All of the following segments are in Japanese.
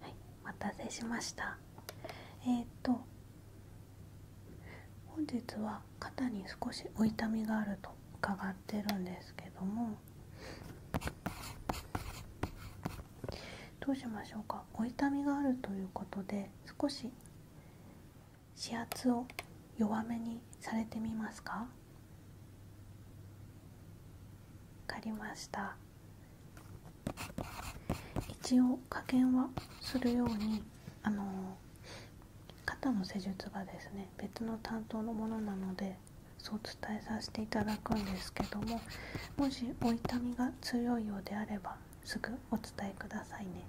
はい、お待たせしましたえっ、と本日は肩に少しお痛みがあると伺ってるんですけどもどうしましょうかお痛みがあるということで少し指圧を弱めにされてみますか分かりました一応加減はするようにあの肩の施術がですね別の担当のものなのでそう伝えさせていただくんですけどももしお痛みが強いようであればすぐお伝えくださいね。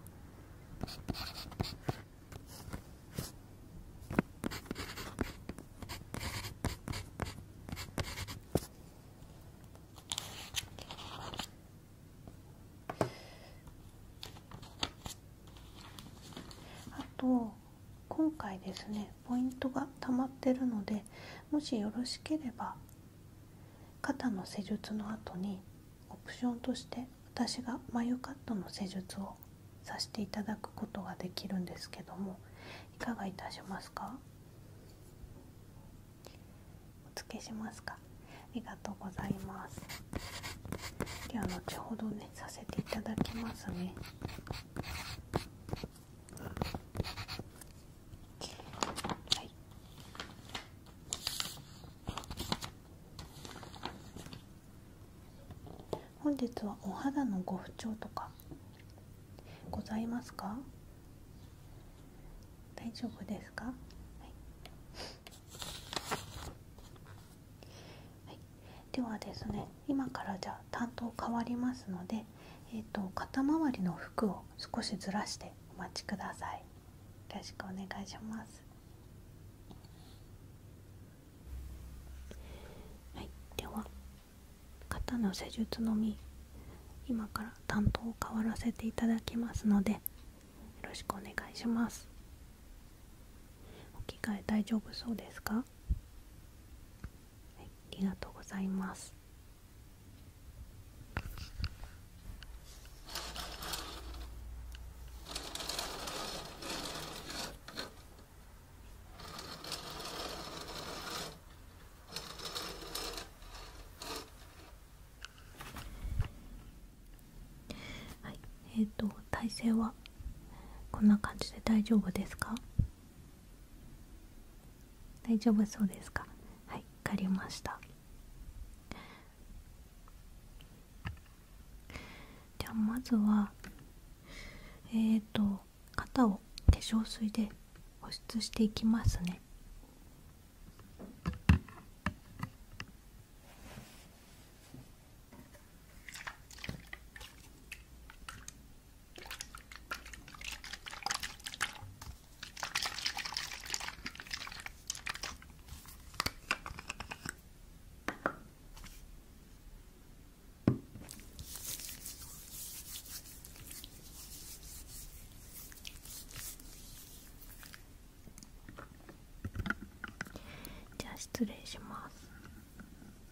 あと今回ですねポイントが溜まってるのでもしよろしければ肩の施術の後にオプションとして私が眉カットの施術をさせていただくことができるんですけどもいかがいたしますかお付けしますかありがとうございますでは後ほどねさせていただきますねはい本日はお肌のご不調とかございますか大丈夫ですか、はいではですね今からじゃあ担当変わりますので、えーと、肩周りの服を少しずらしてお待ちください。よろしくお願いします。はい、では肩の施術のみ今から担当を変わらせていただきますのでよろしくお願いします。お着替え大丈夫そうですかはい、ありがとうございますはいえっ、と体勢はこんな感じで大丈夫ですか大丈夫そうですかはい分かりましたではまずはえっ、と型を化粧水で保湿していきますねじゃあ失礼します。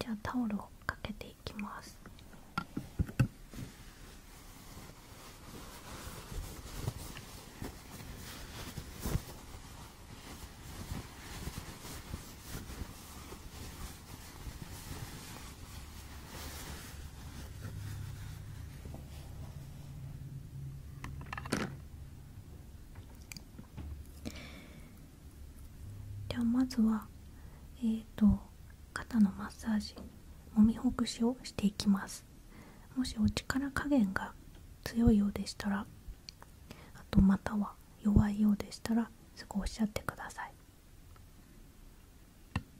じゃあタオルをかけていきますではまずはえーと、肩のマッサージもみほぐしをしていきますもしお力加減が強いようでしたらあとまたは弱いようでしたらすぐおっしゃってください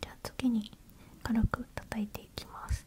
じゃあ次に軽く叩いていきます。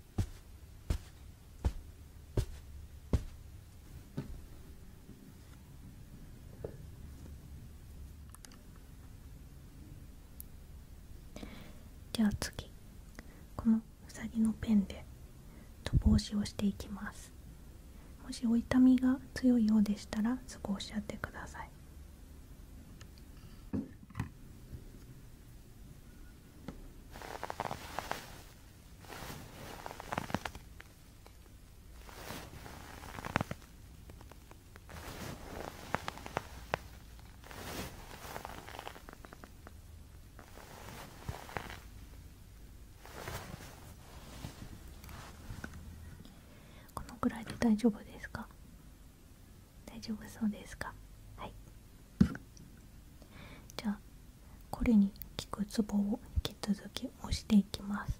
じゃ次このうさぎのペンでと帽子をしていきますもしお痛みが強いようでしたらそこをおっしゃってくださいこのくらいで大丈夫ですか大丈夫そうですかはいじゃあこれに効くツボを引き続き押していきます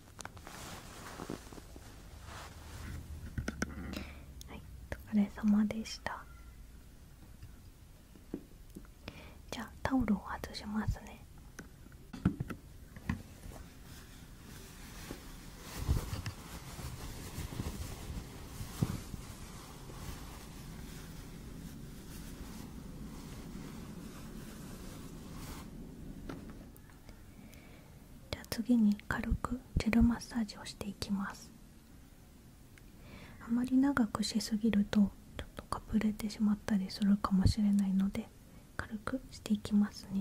はいお疲れ様でしたじゃあタオルを外しますねじゃあ次に軽くジェルマッサージをしていきますあまり長くしすぎるとちょっとかぶれてしまったりするかもしれないので軽くしていきますね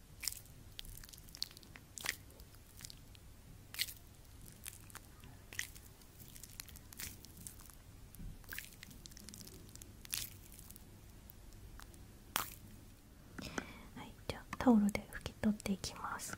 はい、じゃあタオルで拭き取っていきます。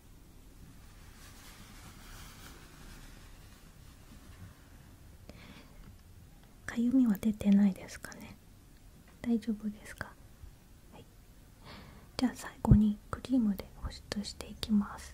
かゆみは出てないですかね大丈夫ですか、はい、じゃあ最後にクリームで保湿していきます…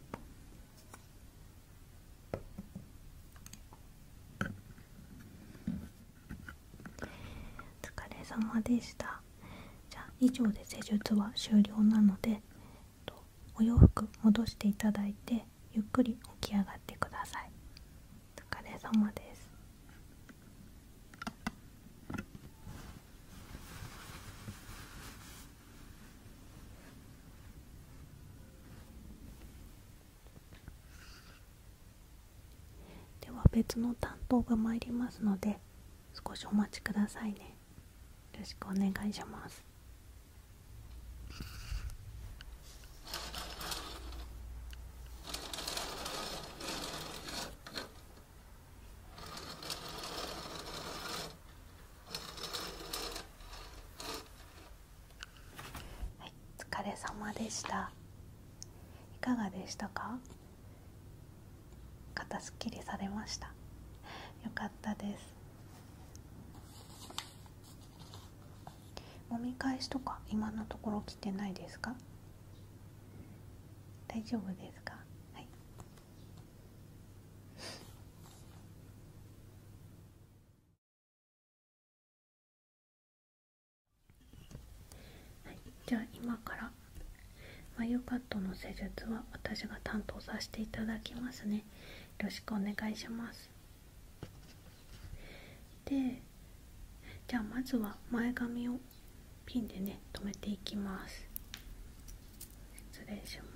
お疲れ様でしたじゃあ以上で施術は終了なのでお洋服戻していただいてゆっくり起き上がってくださいお疲れ様ですでは別の担当が参りますので少しお待ちくださいねよろしくお願いしますはい、お疲れ様でしたいかがでしたか肩すっきりされましたよかったです揉み返しとか今のところ来てないですか大丈夫ですかはいはい、じゃあ今から眉カットの施術は私が担当させていただきますねよろしくお願いしますでじゃあまずは前髪をピンでね止めていきます失礼します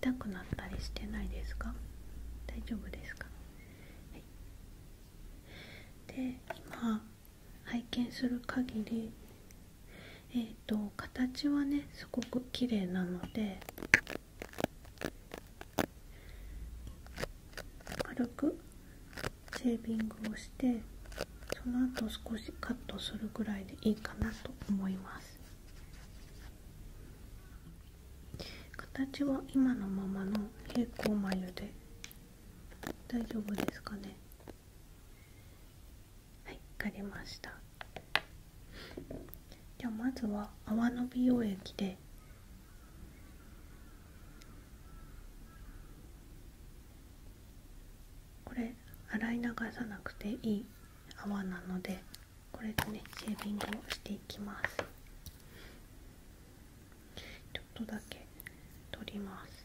痛くなったりしてないですか大丈夫ですか、で今拝見する限りえーと、形はねすごく綺麗なので軽くシェービングをしてその後少しカットするぐらいでいいかなと思います形は今のままの平行眉で大丈夫ですかねはい分かりましたじゃあまずは泡の美容液でこれ洗い流さなくていい泡なのでこれでねシェービングをしていきますちょっとだけ取ります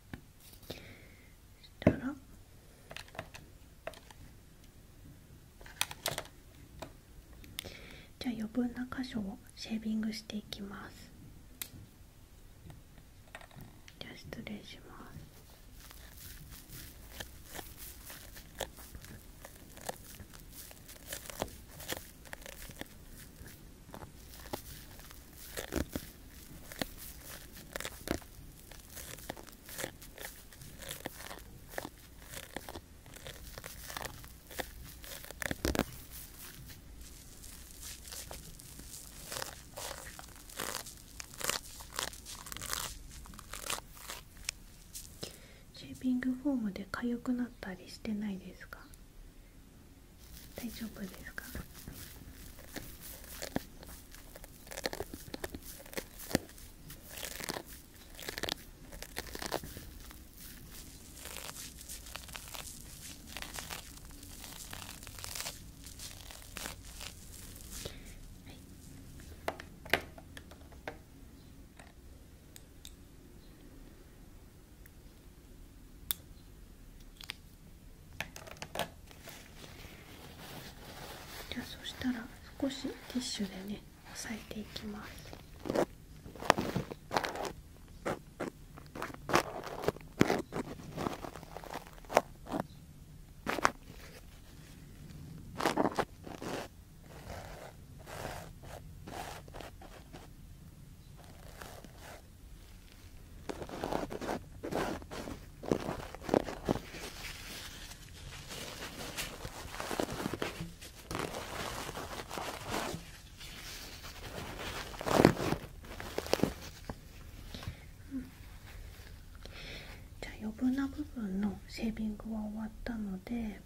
したらじゃあ余分な箇所をシェービングしていきますじゃあ失礼しますシェービングフォームで痒くなったりしてないですか大丈夫ですかじゃあそしたら少しティッシュでね押さえていきますうん、じゃあ余分な部分のセービングは終わったので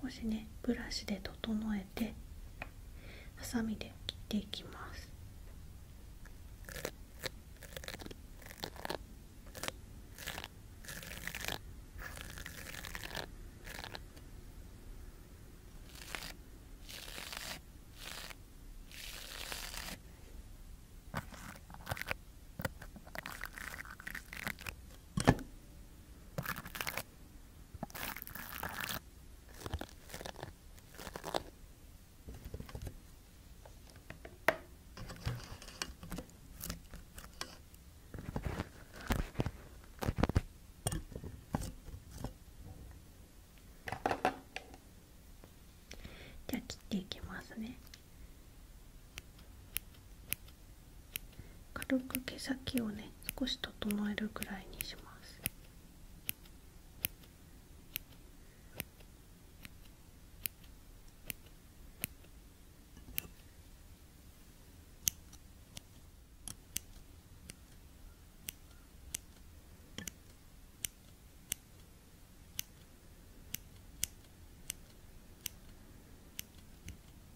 少しねブラシで整えてハサミで切っていきますじゃあ切っていきますね。軽く毛先をね少し整えるくらいにします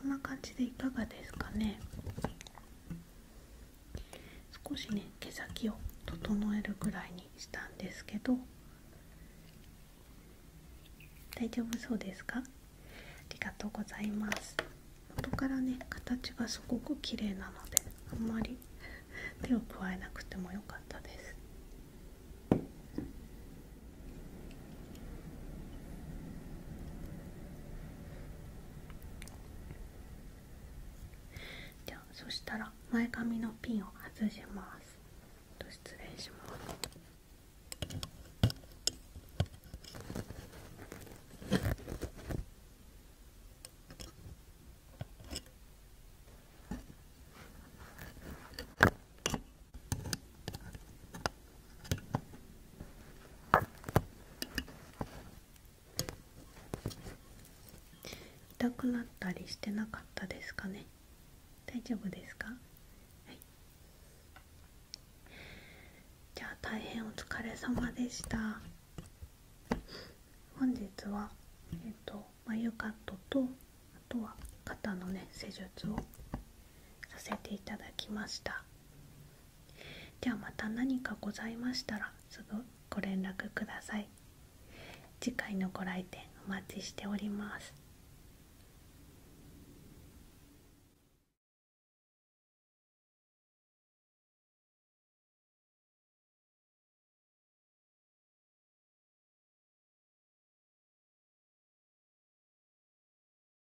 こんな感じでいかがですかね少しね毛先を整えるぐらいにしたんですけど大丈夫そうですかありがとうございます元からね形がすごく綺麗なのであんまり 手を加えなくてもよかったですじゃあそしたら前髪のピンを外します失礼します痛くなったりしてなかったですかね大丈夫ですかはいじゃあ大変お疲れ様でした本日はえっ、と眉カットとあとは肩のね施術をさせていただきましたではまた何かございましたらすぐご連絡ください次回のご来店お待ちしております